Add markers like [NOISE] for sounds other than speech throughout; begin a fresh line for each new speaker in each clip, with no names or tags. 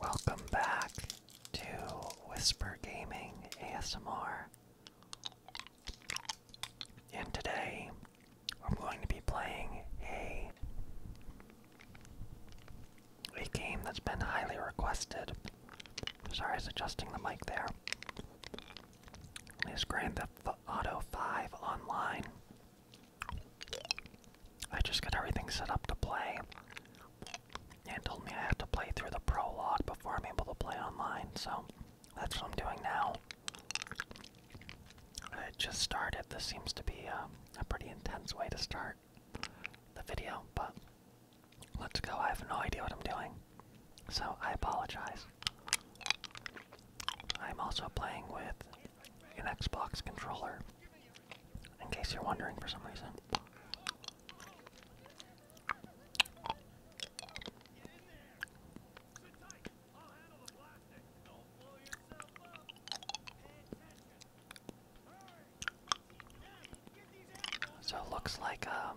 Welcome back to Whisper Gaming ASMR. And today I'm going to be playing a a game that's been highly requested. Sorry, I was adjusting the mic there is Grand Theft Auto 5 online. I just got everything set up to play. And told me I have to play through the prologue before I'm able to play online, so that's what I'm doing now. I just started. This seems to be uh, a pretty intense way to start the video, but let's go. I have no idea what I'm doing. So I apologize. I'm also playing with an Xbox controller, in case you're wondering for some reason. So it looks like um,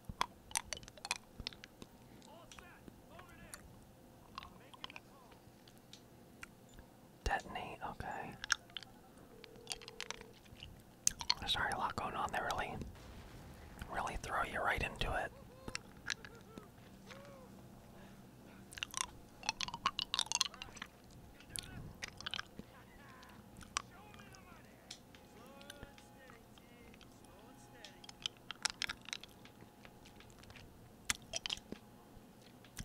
Detonate, okay. There's a lot going on there, really. Really throw you right into it.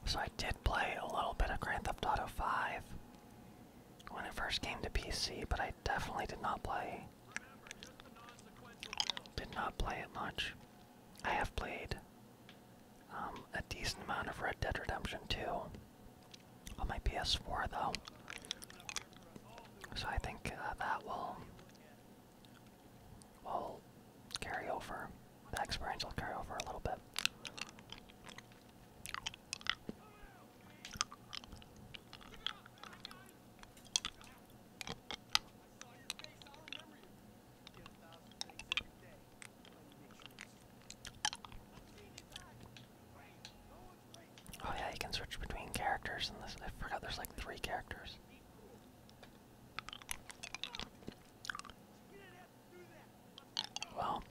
So I did play a little bit of Grand Theft Auto 5 when it first came to PC, but I definitely did not play did not play it much. I have played um, a decent amount of Red Dead Redemption 2 on my PS4 though. So I think uh, that will will carry over. the experience will carry over a little bit. Oh yeah, you can switch between characters And this. I forgot there's like three characters. Well,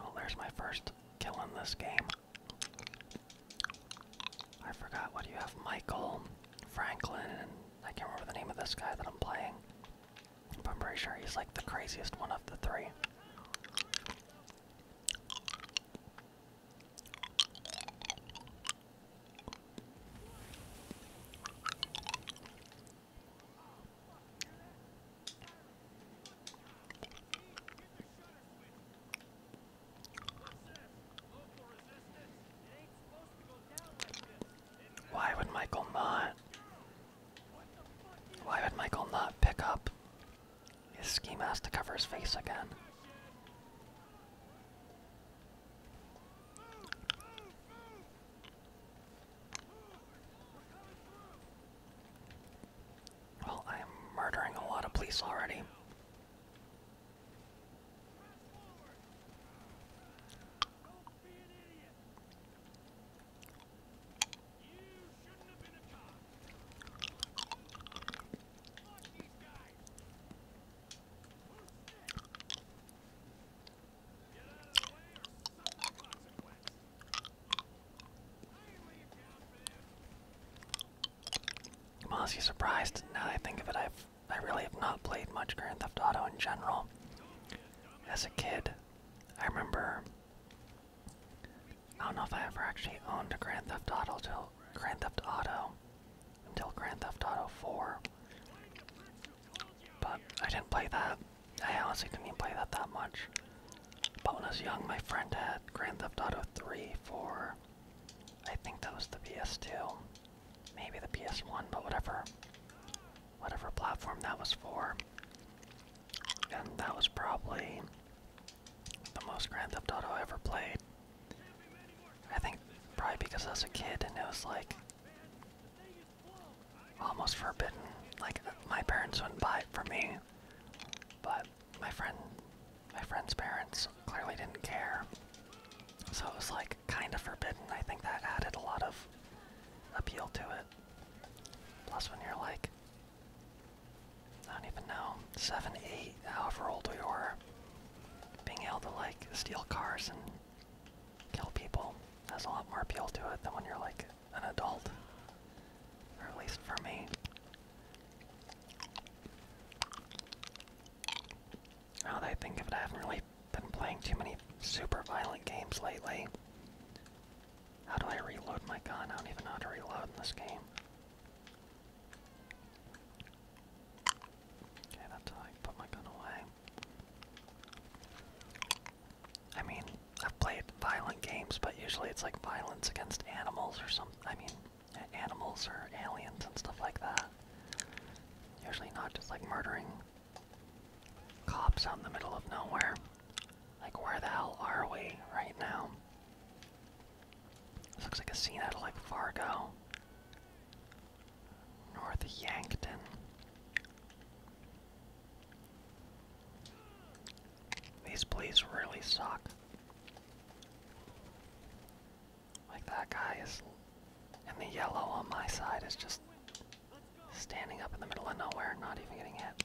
oh, there's my first kill in this game. I forgot what do you have, Michael, Franklin, and I can't remember the name of this guy that I'm playing. But I'm pretty sure he's like the craziest one of the three. Why would Michael not? Why would Michael not pick up his ski mask to cover his face again. Well, I am murdering a lot of police already. I'm honestly surprised now that I think of it. I've I really have not played much Grand Theft Auto in general. As a kid, I remember I don't know if I ever actually owned a Grand Theft Auto till Grand Theft Auto until Grand Theft Auto 4. But I didn't play that. I honestly didn't even play that that much. But when I was young, my friend had Grand Theft Auto 3 4. I think that was the PS2, maybe the PS1, but whatever, whatever platform that was for. And that was probably the most Grand Theft Auto I ever played. I think probably because I was a kid and it was like almost forbidden. Like my parents wouldn't buy it for me, but my friend, my friend's parents clearly didn't care. So it was like kind of forbidden. I think that added a lot of appeal to it. Plus, when you're like I don't even know, seven, eight, however old we were, being able to like steal cars and kill people has a lot more appeal to it than when you're like an adult, or at least for me. Now that I think of it, I haven't really been playing too many super violent games lately. How do I reload my gun? I don't even know how to reload in this game. Okay, that's how I put my gun away. I mean, I've played violent games, but usually it's like violence against animals or some I mean, animals or aliens and stuff like that. Usually not just like murdering cops out in the middle of nowhere. Like, where the hell are we right now? This looks like a scene out of like Fargo. North Yankton. These police really suck. Like that guy is and the yellow on my side is just standing up in the middle of nowhere, not even getting hit.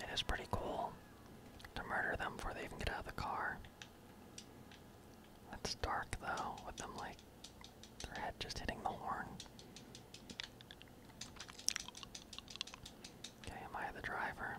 It is pretty cool to murder them before they even get out of the car. It's dark though, with them like their head just hitting the horn. Okay, am I the driver?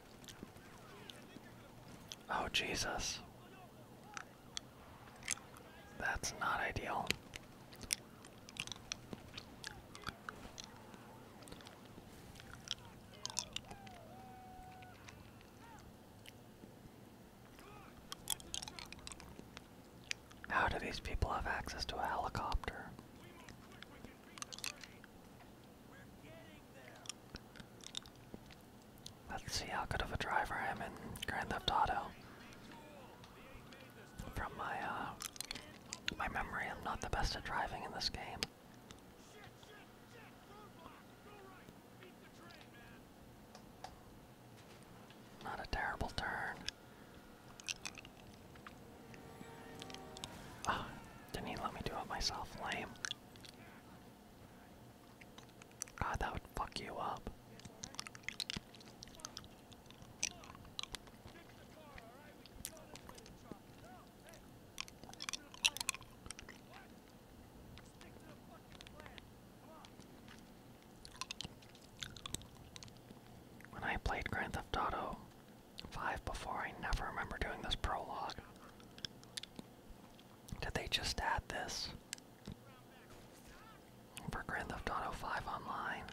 Oh, Jesus. That's not ideal. How do these people have access to a helicopter? Let's see how good of a driver I am in Grand Theft Auto. From my uh, my memory, I'm not the best at driving in this game. Not a terrible turn. Ah, didn't even let me do it myself, lame. God, that would fuck you up. When I played Grand Theft Auto 5 before, I never remember doing this prologue. Did they just add this? For Grand Theft Auto 5 Online.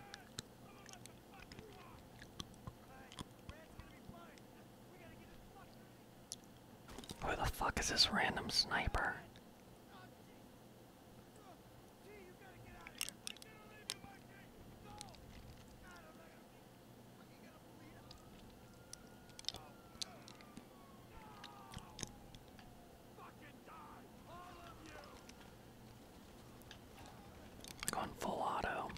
Who the fuck is this random sniper? going full auto.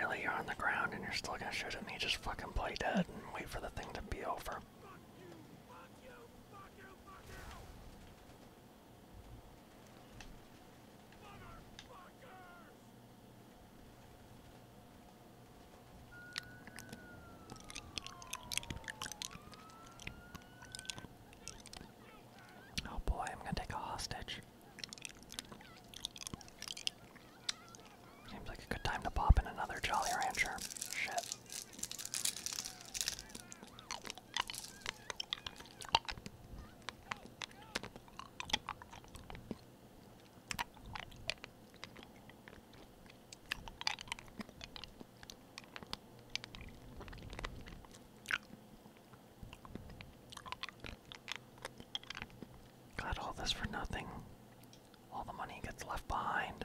really, you're on the ground and you're still gonna shoot at me. Just fucking play dead and wait for the thing to be over. Oh boy, I'm gonna take a hostage. Seems like a good time to pop in another Jolly Rancher. Got all this for nothing. All the money gets left behind.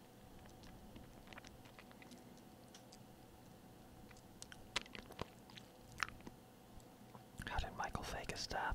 How did Michael fake a death?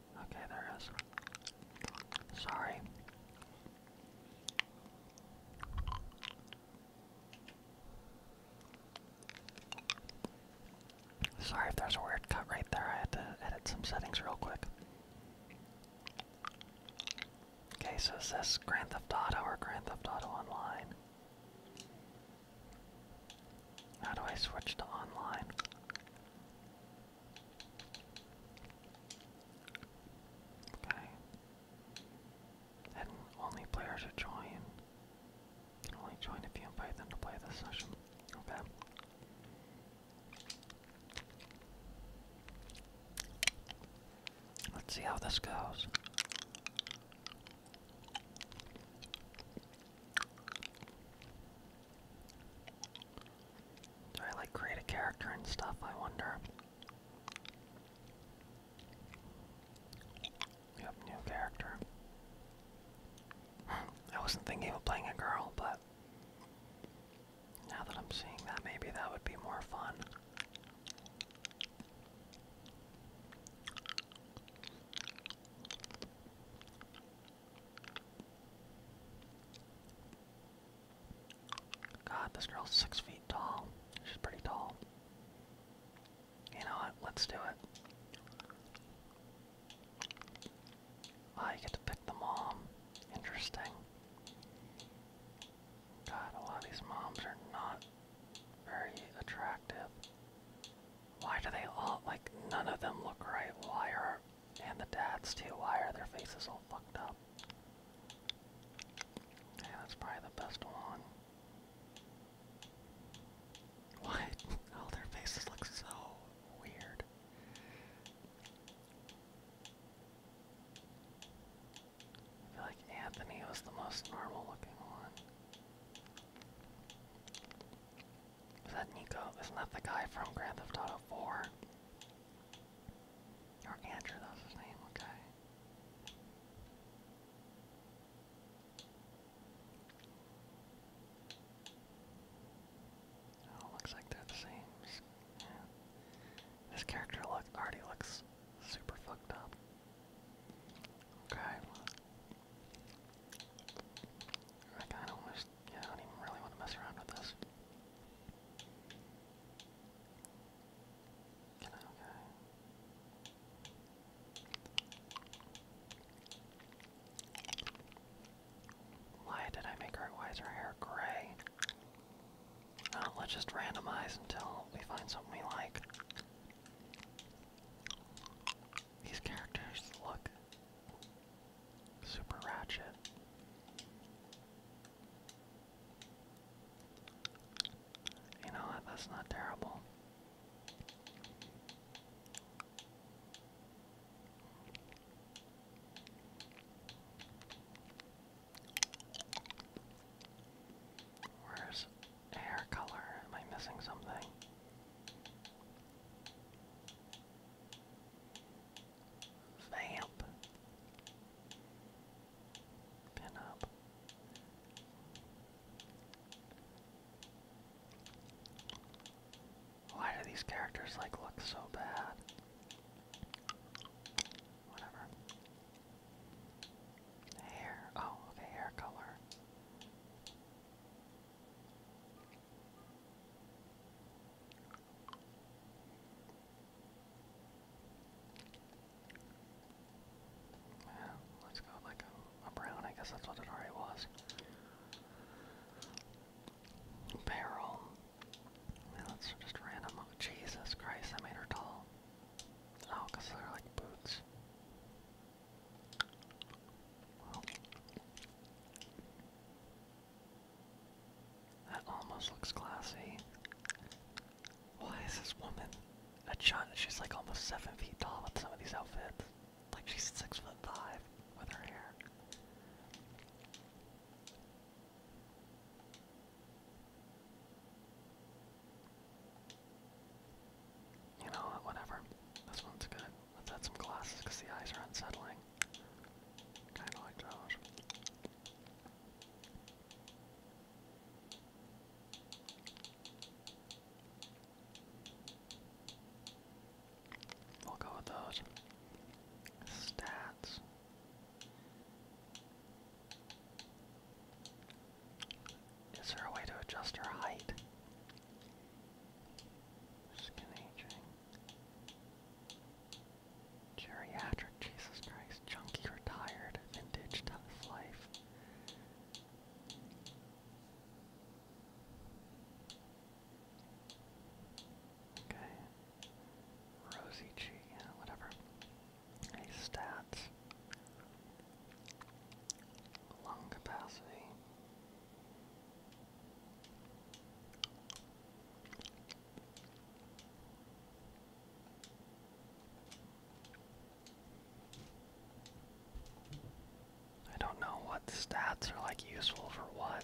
Okay, there is. Sorry. Sorry if there's a weird cut right there. I had to edit some settings real quick. Okay, so is this Grand Theft Auto or Grand Theft Auto Online? How do I switch to online? Okay. And only players who join can only join if you invite them to play this session. Okay. Let's see how this goes. Do I like create a character and stuff? I wonder. Yep, new character. Hmm, I wasn't thinking of playing a girl, but now that I'm seeing that, maybe that would be more fun. God, this girl's six feet tall. She's pretty tall. You know what? Let's do it. I ah, get to pick the mom. Interesting. God, a lot of these moms are not very attractive. Why do they all, like, none of them look right? Why are, and the dads too, why are their faces all fucked up? Yeah, that's probably the best one. What? [LAUGHS] Oh, their faces look so weird. I feel like Anthony was the most normal looking one. Is that Nico? Isn't that the guy from Grand Theft Auto 4? Or Andrew, that his name, okay. Oh, looks like they're This character look already looks super fucked up. Okay. I kind yeah, I don't even really want to mess around with this. Why did I make her, why is hair gray? let's just randomize until we find something we like. These characters look Super Ratchet. You know That's not terrible. Where's hair color? Am I missing something? Vamp. Pin up. Why do these characters like look so bad? Whatever. Hair. Oh, okay, hair color let's go like a, brown, I guess that's what it already was. Barrel. Yeah, that's just random. Oh, Jesus Christ, I made her tall. Oh, they're like boots. That almost looks classy. Why is this woman a giant? She's like almost seven feet tall with some of these outfits. Like she's six foot five with her hair. You know, whatever. This one's good. Let's add some glasses because the eyes are unsettling. Kinda like those. We'll go with those. Stats. Is there a way to adjust her height? Skin aging. Geriatric, Jesus Christ. Junkie retired. Vintage tough life. Okay. Rosie G, yeah, whatever. Hey, stats. Lung capacity. I don't know what stats are like useful for what.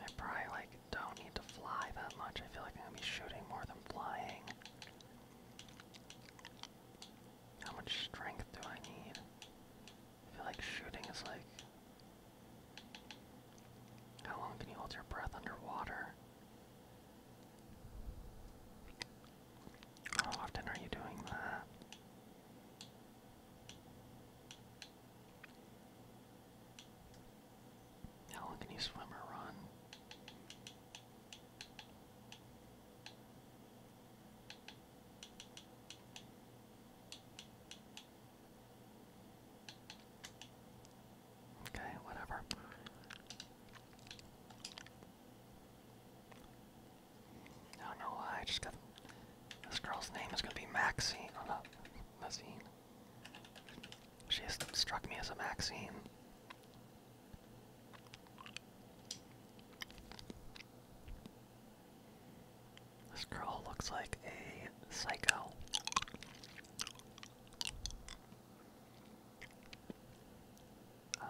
I probably like don't need to fly that much. I feel like I'm gonna be shooting more than flying. How much strength do I need? I feel like shooting is like. How long can you hold your breath underwater? How often are you doing that? How long can you swim or run? Okay, whatever. I don't know why, I just got this girl's name is gonna be Maxine. Oh, Maxine. She just struck me as a Maxine. This girl looks like a psycho. Uh,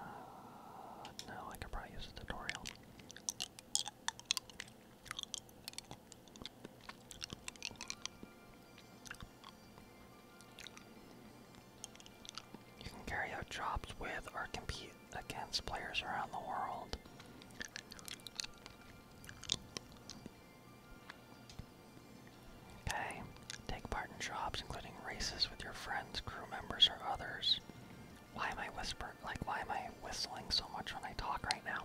no, I could probably use a tutorial. You can carry out jobs with or compete against players around the world. Okay, take part in jobs including races with your friends, crew members, or others. Why am I whispering? Like, why am I whistling so much when I talk right now?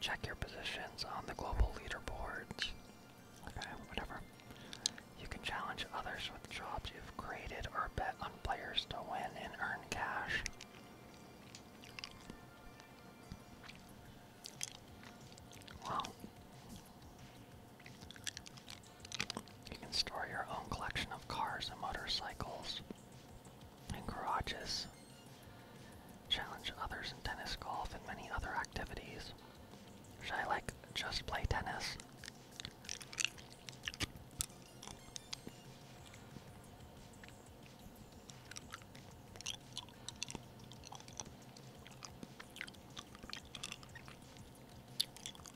Check your positions on the global leaderboards. Okay, whatever. You can challenge others with jobs you created our bet on players to win and earn cash. Well, you can store your own collection of cars and motorcycles and garages, challenge others in tennis, golf, and many other activities. Should I like just play tennis?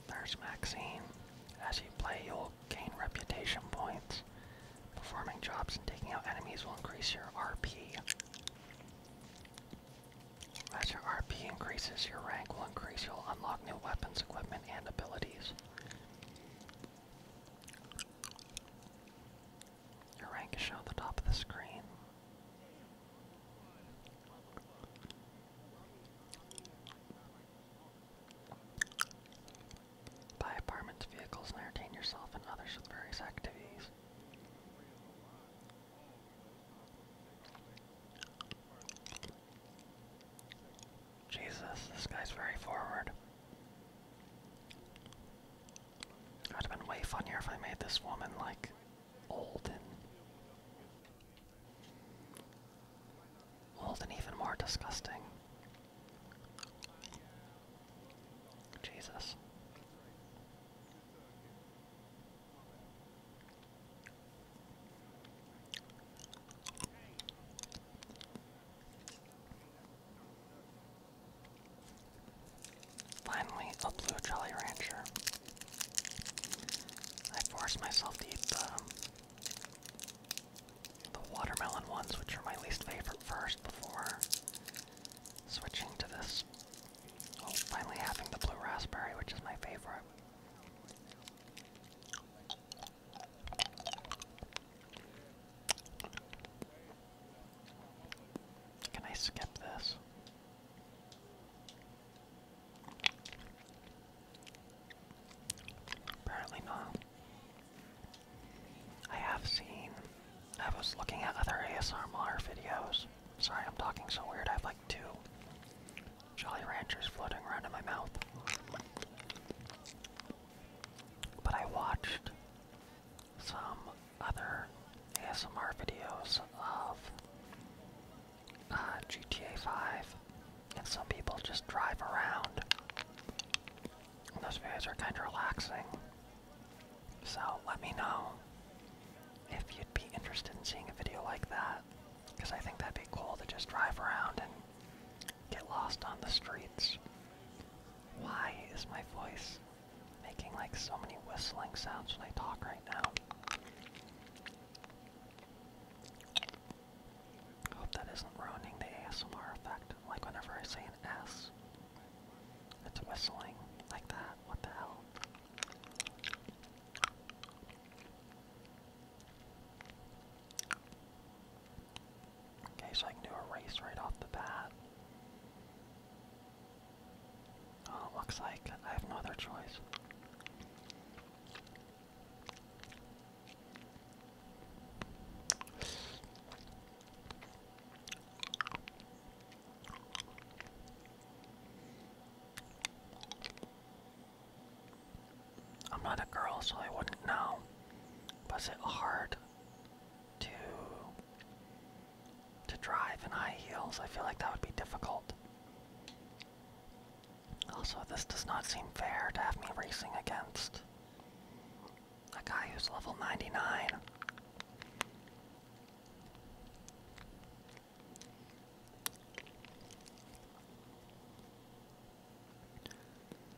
There's Maxine. As you play, you'll gain reputation points. Performing jobs and taking out enemies will increase your RP. As your RP increases, your rank will increase. You'll unlock new weapons, equipment, and abilities. Your rank is shown at the top of the screen. Buy apartments, vehicles, and entertain yourself and others with various activities. Jesus, this guy's very forward. It would have been way funnier if I made this woman like old and even more disgusting. Jesus. Finally, a blue Jolly Rancher. I forced myself to eat um, the, watermelon ones, which are my least favorite, first before switching to this. Oh, finally having the blue raspberry, which is my favorite. Can I skip this? Apparently not. I have seen. I was looking at other ASMR videos. Sorry, I'm talking so weird. I have like two Jolly Ranchers floating around in my mouth. But I watched some other ASMR videos of uh, GTA 5, and some people just drive around. And those videos are kind of relaxing. So let me know if you'd be interested in seeing a video like that, because I think that'd be cool to just drive around and get lost on the street. Why is my voice making like so many whistling sounds when I talk right now? Hope that isn't ruining the ASMR effect. Like whenever I say an S, it's whistling like that. What the hell? Okay, so I can do a race right off the bat. Oh, looks like I have no other choice. I'm not a girl, so I wouldn't know. Was it hard to to drive in high heels? I feel like that would be difficult. Also, this does not seem fair to have me racing against a guy who's level 99.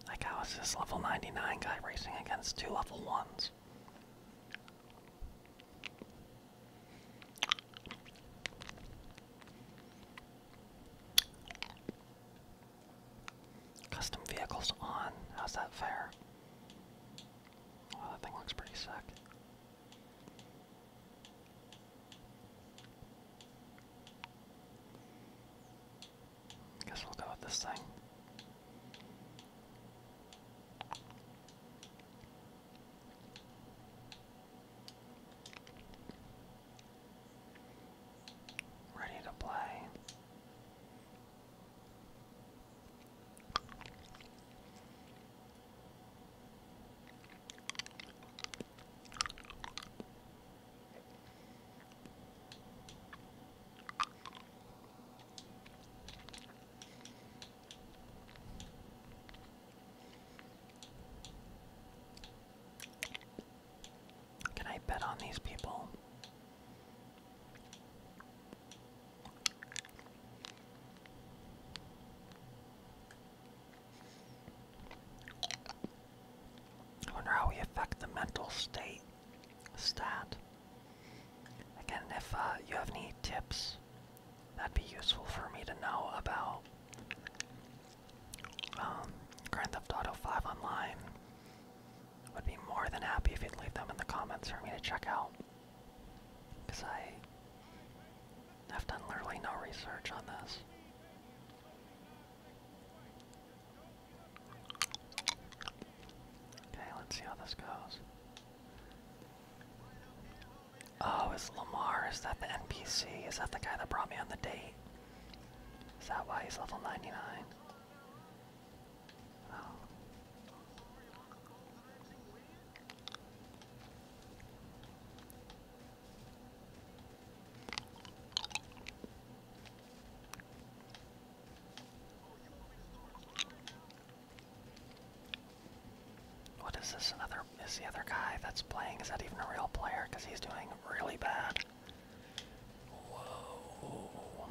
Like, how is this level 99 guy racing against two level 1s? Custom vehicles on. How's that fair? Oh, that thing looks pretty sick. Guess we'll go with this thing. Ready to play. Can I bet on these people? I wonder how we affect the mental state stat. Again, if uh, you have any tips, that'd be useful for me to know about um, Grand Theft Auto 5 Online. Would be more than happy if you'd leave them in the comments for me to check out. Because I have done literally no research on this. Okay, let's see how this goes. Oh, is Lamar, is that the NPC? Is that the guy that brought me on the date? Is that why he's level 99? What is this? Another is the other guy that's playing? Is that even a real player? Because he's doing really bad. Whoa.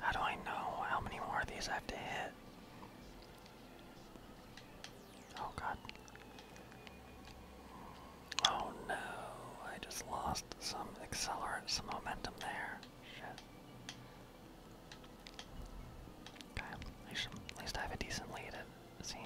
How do I know how many more of these I have to hit? Oh god. Oh no, I just lost some accelerant, some momentum there. Shit. at least, I have a decent lead seems.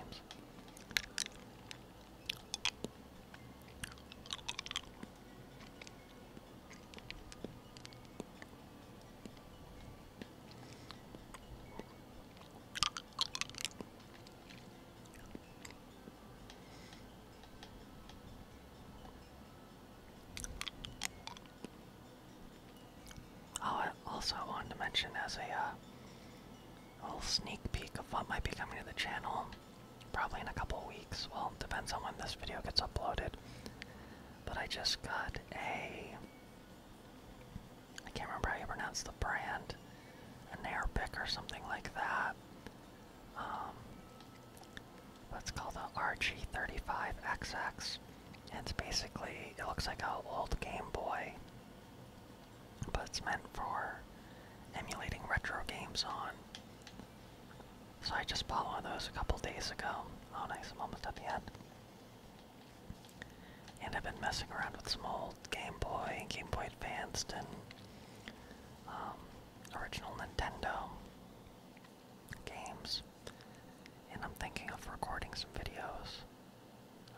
Oh, I also wanted to mention as a uh, a little sneak peek of what might be coming to the channel. Probably in a couple weeks. Well, depends on when this video gets uploaded. But I just got a. I can't remember how you pronounce the brand. An air or something like that. Let's um, call the RG35XX. It's basically, it looks like an old Game Boy but it's meant for emulating retro games on. So I just bought one of those a couple days ago. Oh nice, I'm almost at the end. And I've been messing around with some old Game Boy, Game Boy Advanced, and um, original Nintendo games. And I'm thinking of recording some videos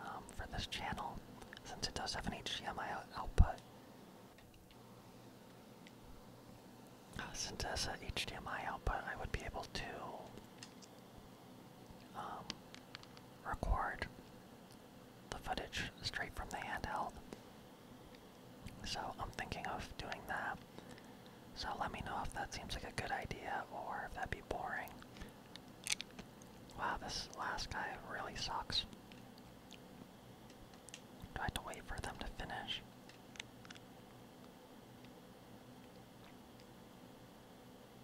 um, for this channel, since it does have an HDMI output. Uh, since it has an HDMI output, I would be able to um, record the footage straight from the handheld. So I'm thinking of doing that. So let me know if that seems like a good idea or if that'd be boring. Wow, this last guy really sucks. Do I have to wait for them to finish?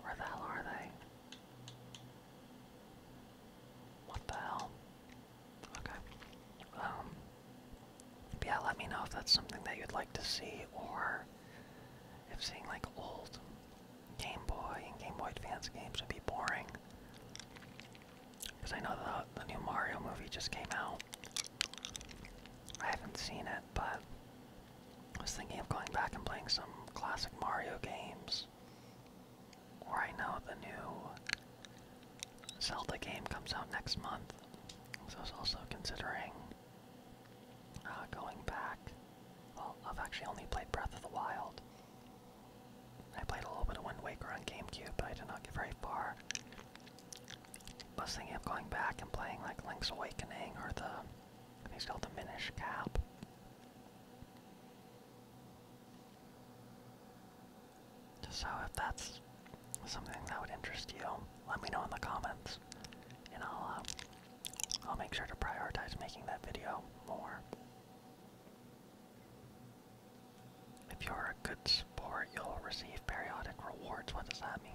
Where the hell are they? What the hell? Okay. Um, yeah, let me know if that's something that you'd like to see, or if seeing like old Game Boy and Game Boy Advance games would be boring. Because I know the, the new Mario movie just came out. I haven't seen it, but I was thinking of going back and playing some classic Mario games. Or I know the new Zelda game comes out next month. So I was also considering uh, going back. Well, I've actually only played Breath of the Wild. I played a little bit of Wind Waker on GameCube, but I did not get very far. I was going back and playing like Link's Awakening or the, I think it's called the Minish Cap. So if that's something that would interest you, let me know in the comments, and I'll uh, I'll make sure to prioritize making that video more. If you're a good sport, you'll receive periodic rewards. What does that mean?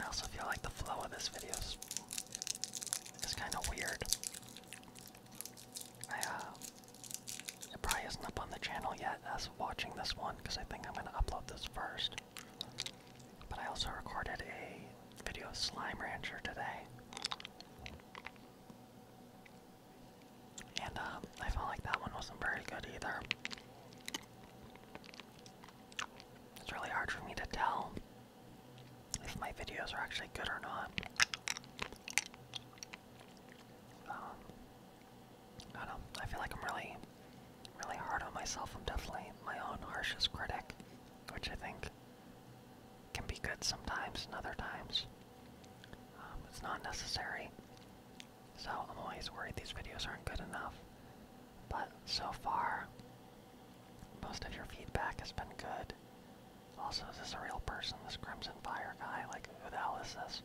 I also feel like the flow of this video is, kind of weird. I, uh, it probably isn't up on the channel yet as watching this one because I think I'm going to upload this first. But I also recorded a video of Slime Rancher today. And um, I felt like that one wasn't very good either. It's really hard for me to tell if my videos are actually good or not. Um, I don't I feel like I'm really, really hard on myself. I'm definitely my own harshest critic, which I think can be good sometimes and other times. Um, it's not necessary. So I'm always worried these videos aren't good enough. But so far, most of your feedback has been good. Also, is this a real person, this Crimson Fire guy? Like, who the hell is this?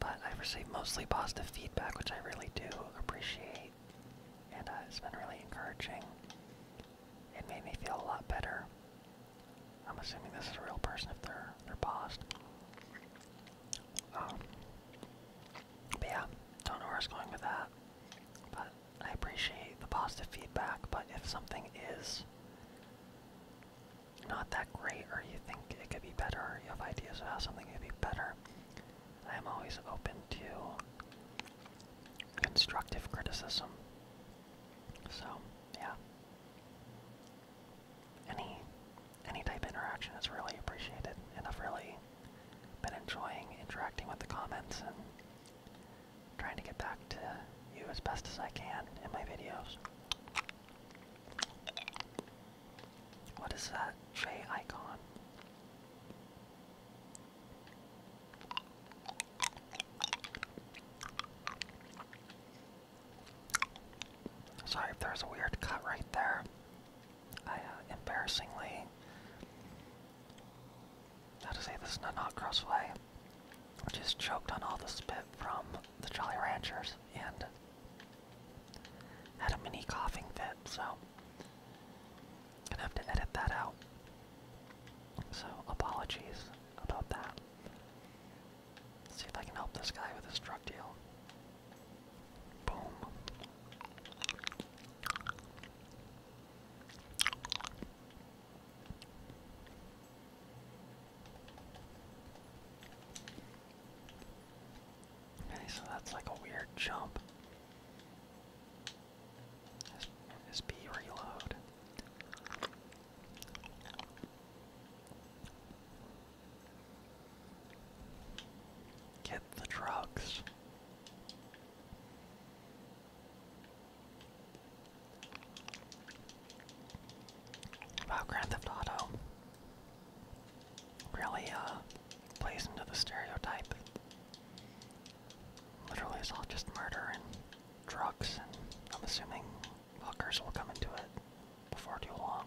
But I've received mostly positive feedback, which I really do appreciate. And uh, it's been really encouraging. It made me feel a lot better. I'm assuming this is a real person if they're they're paused. Um, but yeah, don't know where I going with that. But I appreciate the positive feedback. But if something is not that great or you think it could be better or you have ideas of how something could be better, I am always open to constructive criticism. So, yeah. Any any type of interaction is really appreciated and I've really been enjoying interacting with the comments and trying to get back to you as best as I can in my videos. What is that J icon? Sorry if there's a weird cut right there. I uh, embarrassingly. How to say this is not crossplay just choked on all the spit from the Jolly Ranchers and had a mini coughing fit, so gonna have to edit that out. So apologies about that. see if I can help this guy with his drug deal. Boom. Okay, so that's like a weird jump. SB reload. Get the drugs. Wow, Grand Theft Auto really uh, plays into the stereotype. Literally, it's all just murder and drugs, and I'm assuming hookers will come into it before too long.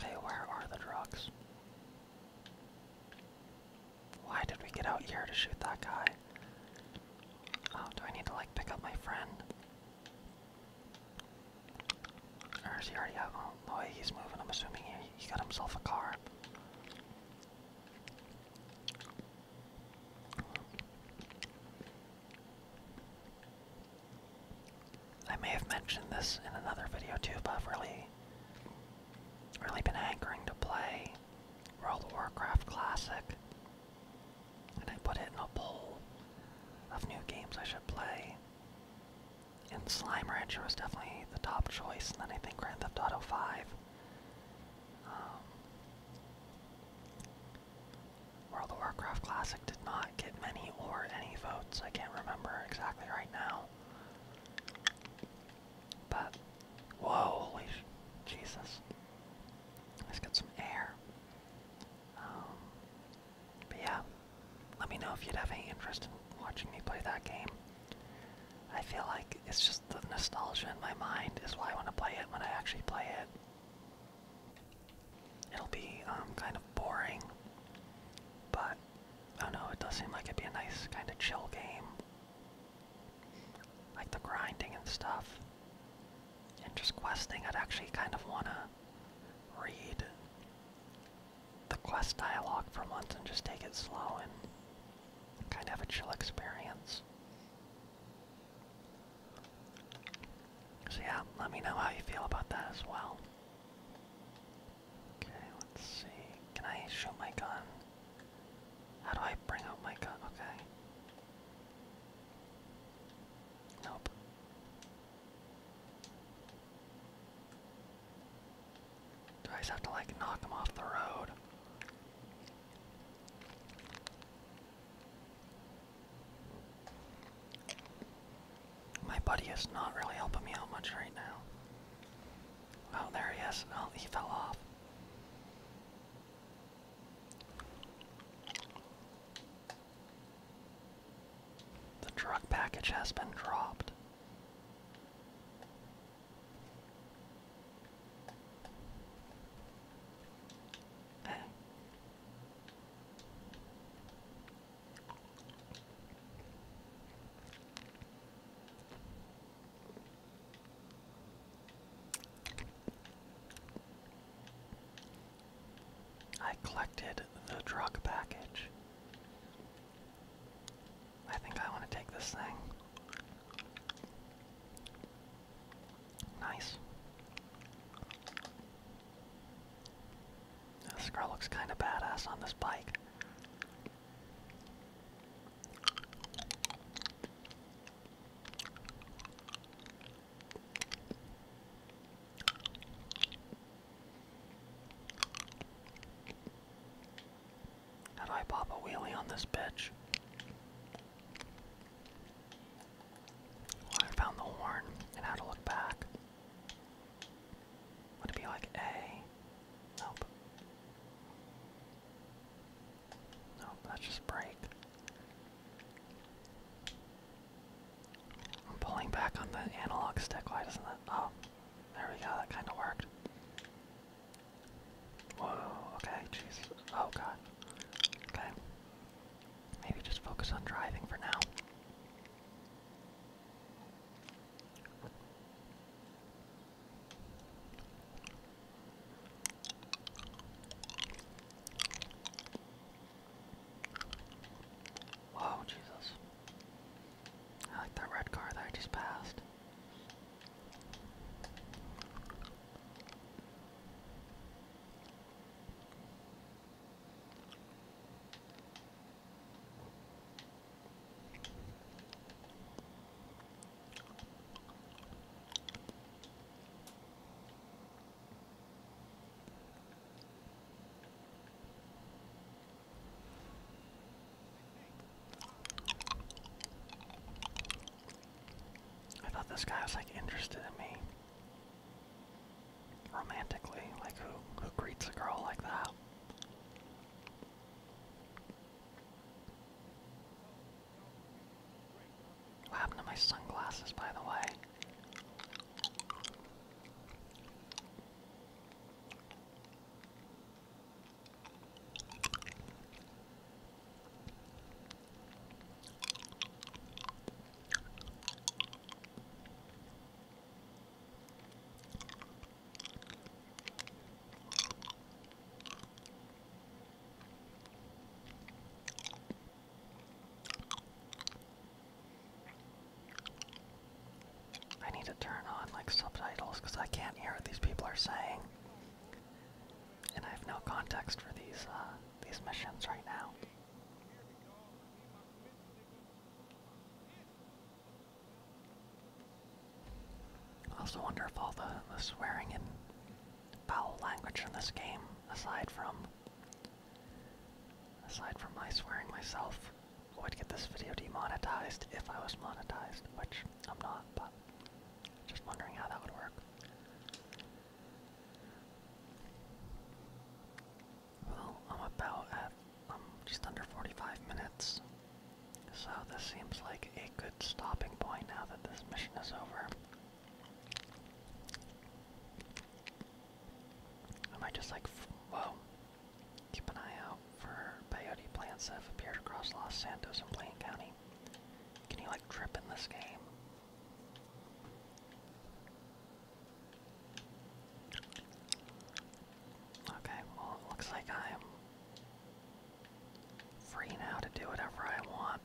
Okay, where are the drugs? Why did we get out here to shoot that guy? Oh, do I need to like pick up my friend? Or is he already out? Oh, the he's moving, I'm assuming he, he got himself a car. I may have mentioned this in another video too, but I've really, really been hankering to play World of Warcraft Classic, and I put it in a poll of new games I should play. And Slime Rancher was definitely the top choice, and then I think Grand Theft Auto 5. Um, World of Warcraft Classic did not get many or any votes. I can't remember exactly right now. But, whoa, holy Jesus. Let's get some air. Um, but yeah, let me know if you'd have any interest in watching me play that game. I feel like it's just the nostalgia in my mind is why I want to play it when I actually play it. It'll be um, kind of boring, but I oh don't know, it does seem like it'd be a nice kind of chill game like the grinding and stuff, and just questing, I'd actually kind of want to read the quest dialogue for once and just take it slow and kind of have a chill experience. So yeah, let me know how you feel about that as well. Okay, let's see. Can I shoot my gun? How do I bring out my gun? Okay. Nope. Do I have to like knock him off the road? My buddy is not really helping me out much right now. Oh, there he is. Oh, he fell off. The drug package has been dropped. I collected the drug package. I think I want to take this thing. Nice. This girl looks kind of badass on this bike. How I pop a wheelie on this bitch? I found the horn and how to look back. Would it be like A? Nope. No, that's just break. I'm pulling back on the analog stick. Why doesn't that? Oh, there we go. That kind of worked. Whoa. Okay. Jeez. Oh god. Okay. Maybe just focus on driving for now. Whoa, Jesus. I like that red car that I just passed. I thought this guy was like interested in me. Romantically, like who who greets a girl like that? What happened to my sunglasses, by the way? I need to turn on like subtitles because I can't hear what these people are saying. And I have no context for these uh, these missions right now. I also wonder if all the, the swearing in foul language in this game, aside from aside from my swearing myself. I would get this video demonetized if I was monetized, which I'm not, but just wondering how that would work. Well, I'm about at, I'm just under 45 minutes. So this seems like a good stopping point now that this mission is over. I might just like, whoa, keep an eye out for peyote plants that have across Los Santos and Plain County. Can you like trip in this game? Okay, well it looks like I am free now to do whatever I want.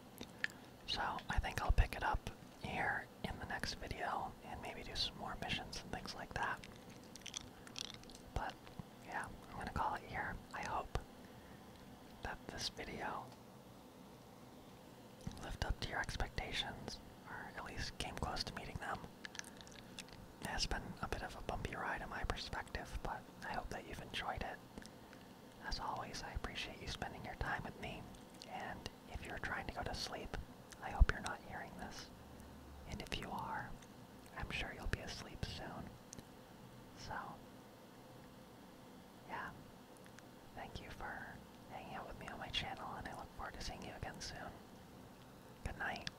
So I think I'll pick it up here in the next video and maybe do some more missions and things like that. But yeah, I'm gonna call it here. I hope that this video lived up to your expectations, or at least came close to meeting them. It has been a bit of a bumpy ride in my perspective, but I hope that you've enjoyed it. As always, I appreciate you spending your time with me, and if you're trying to go to sleep, I hope you're not hearing this. And if you are, I'm sure you'll be asleep soon. So, yeah. Thank you for hanging out with me on my channel, and I look forward to seeing you again soon. Good night.